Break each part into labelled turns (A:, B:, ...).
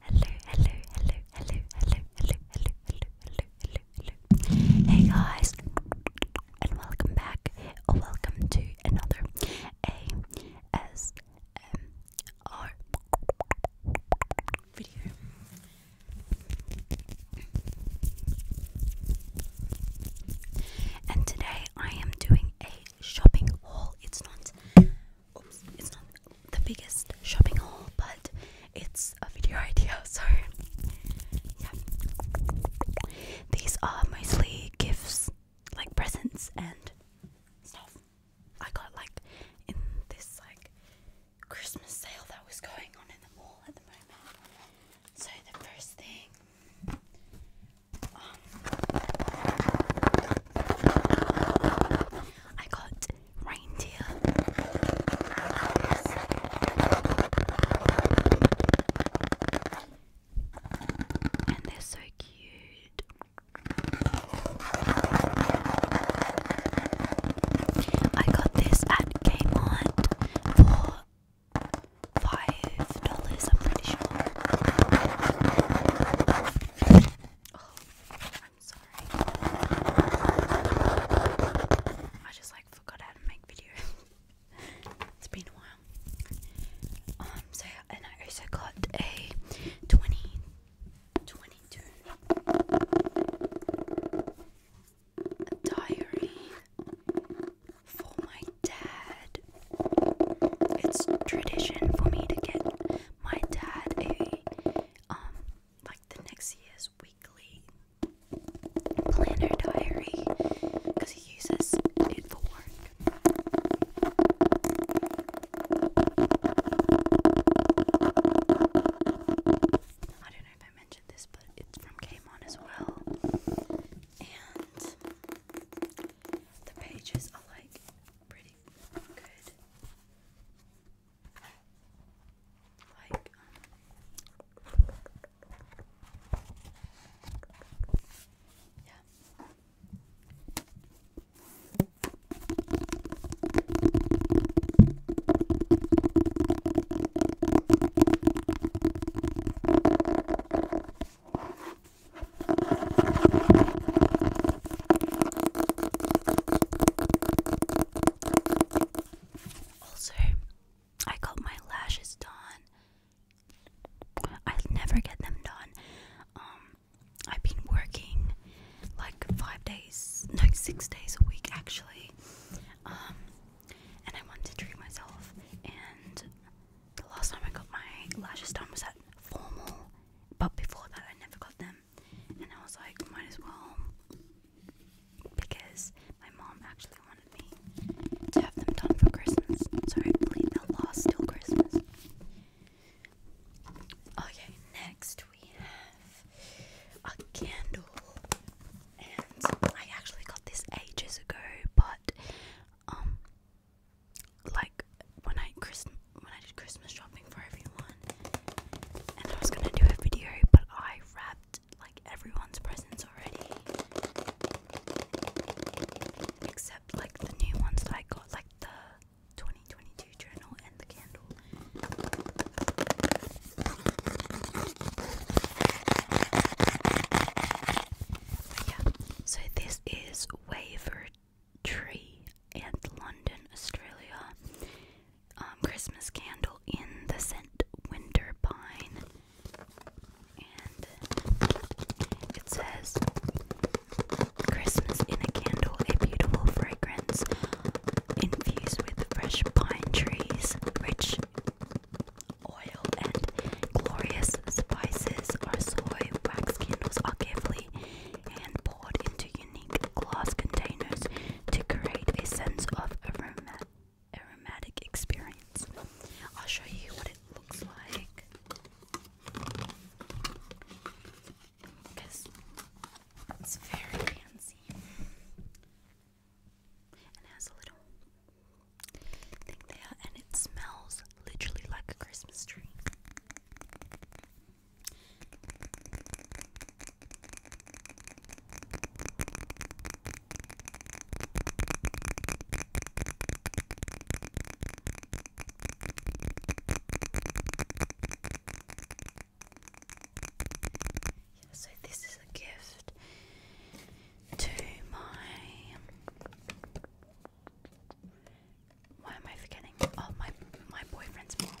A: Hello, hello, hello, hello, hello, hello, hello, hello, hello, hello, Hey guys, and welcome back, or welcome to another ASMR video. And today I am doing a shopping haul. It's not it's not the biggest shopping haul, but it's a video idea, so yeah. These are mostly gifts, like presents and stuff. I got like in this like Christmas sale that was going on in the mall at the moment. So the first thing um, I got reindeer and they're so cute. I got this at Kmart for five dollars, I'm pretty sure. Oh, I'm sorry. I just like forgot how to make videos. it's been a while. Um, so and I also got a 20, diary for my dad it's tradition for me to get my dad a um like the next year's weekly planner diary because he uses it for work. I don't know if I mentioned this, but it's from Kmart as well. And the pages are like pretty good. Like, yeah. Um, also, I got my lashes done. I never get them done. Um, I've been working like five days, no, six days a week actually. Um, and I wanted to treat myself, and the last time I got my lashes done was at formal, but before that I never got them, and I was like, might as well, because my mom actually wanted me to have them done for Christmas, so believe they'll last till Christmas. Okay, next we have a candle, and I actually got this ages ago, but um, like when I Christmas when I did Christmas shopping for everyone, and I was gonna do a video, but I wrapped like everyone's presents already, except like the new ones that I got, like the 2022 journal and the candle. yeah, so this is Waver Tree and London, Australia. Um, Christmas candle in the scent Winter Pine. And it says Christmas in a candle, a beautiful fragrance infused with fresh pine trees, rich oil and glorious spices are soy wax candles are carefully hand poured into unique glass containers to create a sense of aroma aromatic experience. I'll show you what it looks like. it's very fancy. And has a little and it smells literally like a Christmas tree. so this is a gift to my why am I forgetting? Oh, my my boyfriend's mom.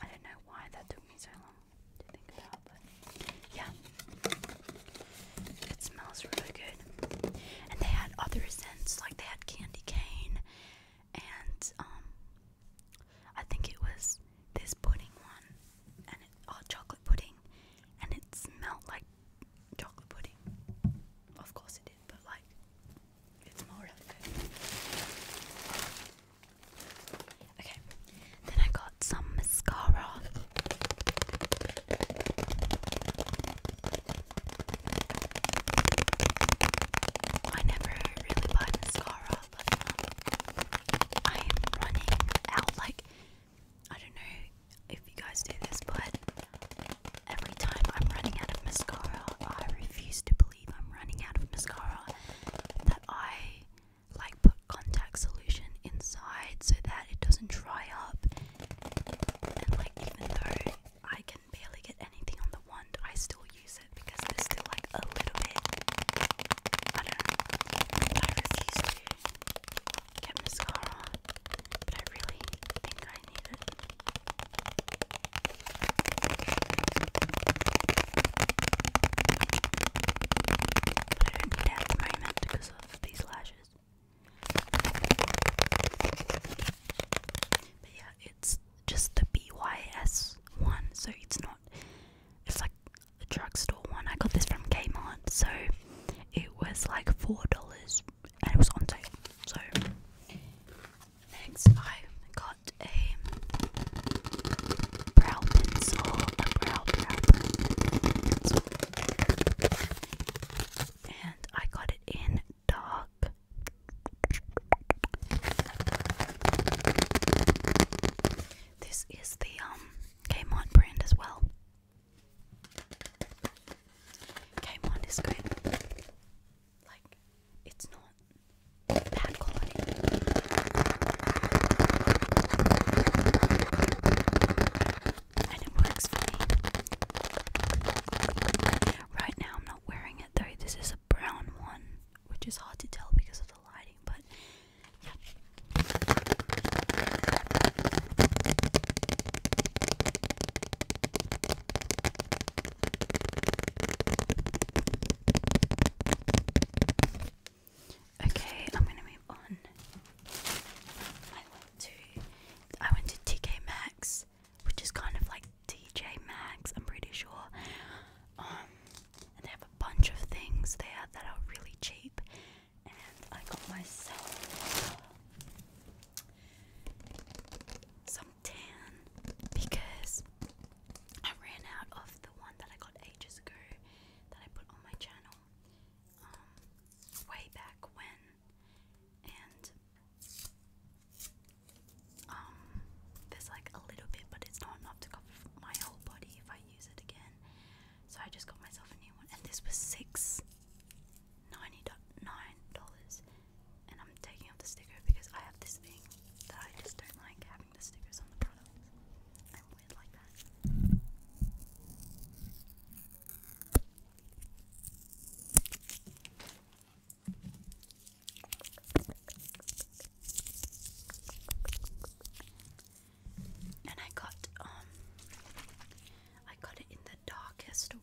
A: I don't know why that took me so long to think about, but yeah, it smells really good. And they had other scents, like they had candy cane, and um, I think it was this pudding one, and it, oh, chocolate pudding, and it smelled like chocolate pudding. Of course it is, but like, it's more really good. Okay, then I got some mascara. I never really buy mascara, but um, I am running out. Like, I don't know if you guys do this, but every time I'm running out of mascara, I refuse to believe I'm running out of mascara. That I like put contact solution inside so that it doesn't dry up. And like, even though I can barely get anything on the wand, I still use it because there's still like a little bit. I don't know get mascara on, but I really think I need it. But I don't need at the moment because of these lashes. But yeah, it's just the BYS one, so it's not. It's like the drugstore one. I got this from Kmart, so it was like four dollars and it was on sale. So next I got a brow pencil, a brow brow And I got it in dark. This is the um Kmart brand as well. Came on is Like, it's not bad quality. And it works for me. Right now, I'm not wearing it though. This is a brown one, which is hard to tell because of the lighting, but Okay, I'm gonna move on. I went to I went to TK Maxx, which is kind of like DJ Maxx, I'm pretty sure. Um, and they have a bunch of things there that are really cheap and I got myself uh, some tan because I ran out of the one that I got ages ago that I put on my channel um, way back when and um, there's like a little bit but it's not enough to cover my whole body if I use it again so I just got myself a new one, and this was six ninety nine dollars. And I'm taking off the sticker because I have this thing that I just don't like having the stickers on the product. I'm weird like that and I got um I got it in the darkest one.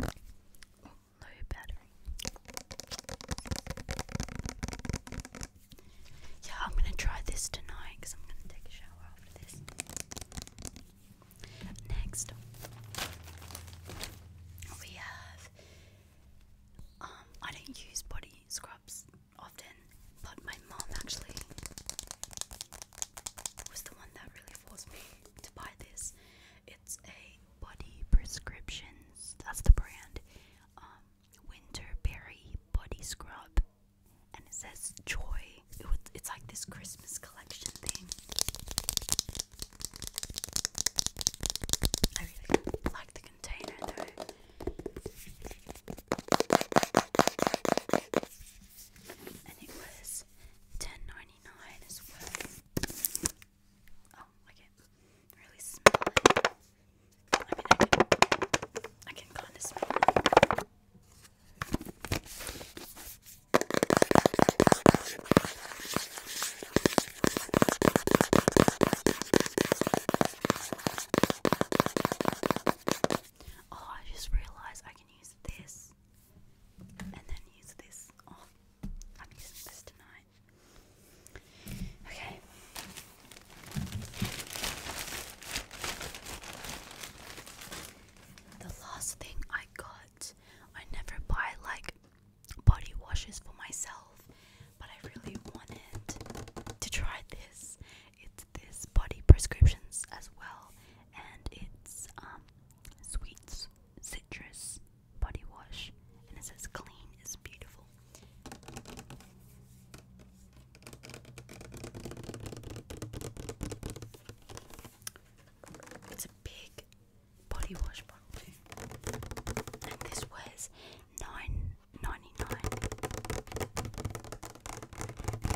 A: Low battery. Yeah, I'm going to try this tonight because I'm going to take a shower after this. Next, we have. Um, I don't use body scrubs often, but my mom actually was the one that really forced me to buy this. It's a Body Prescriptions, that's the brand. Um, Winterberry Body Scrub. And it says Joy. It was, it's like this Christmas collection thing. I really like the container though and it was 10 as well. Oh, I can really smell I mean, I can kind of smell it. Oh, I just realized I can use this and then use this. Oh, I'm using this tonight. Okay. The last thing I got, I never buy like body washes for myself, but I really wanted to try this. It this body prescriptions as well, and it's um sweets citrus body wash, and it says clean is beautiful. It's a big body wash bottle and this was nine ninety nine.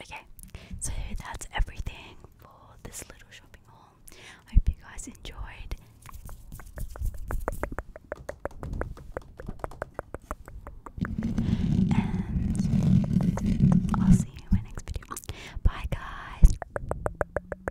A: Okay, so that's everything for this little shopping haul. I hope you guys enjoyed. And I'll see you in my next video. Bye, guys.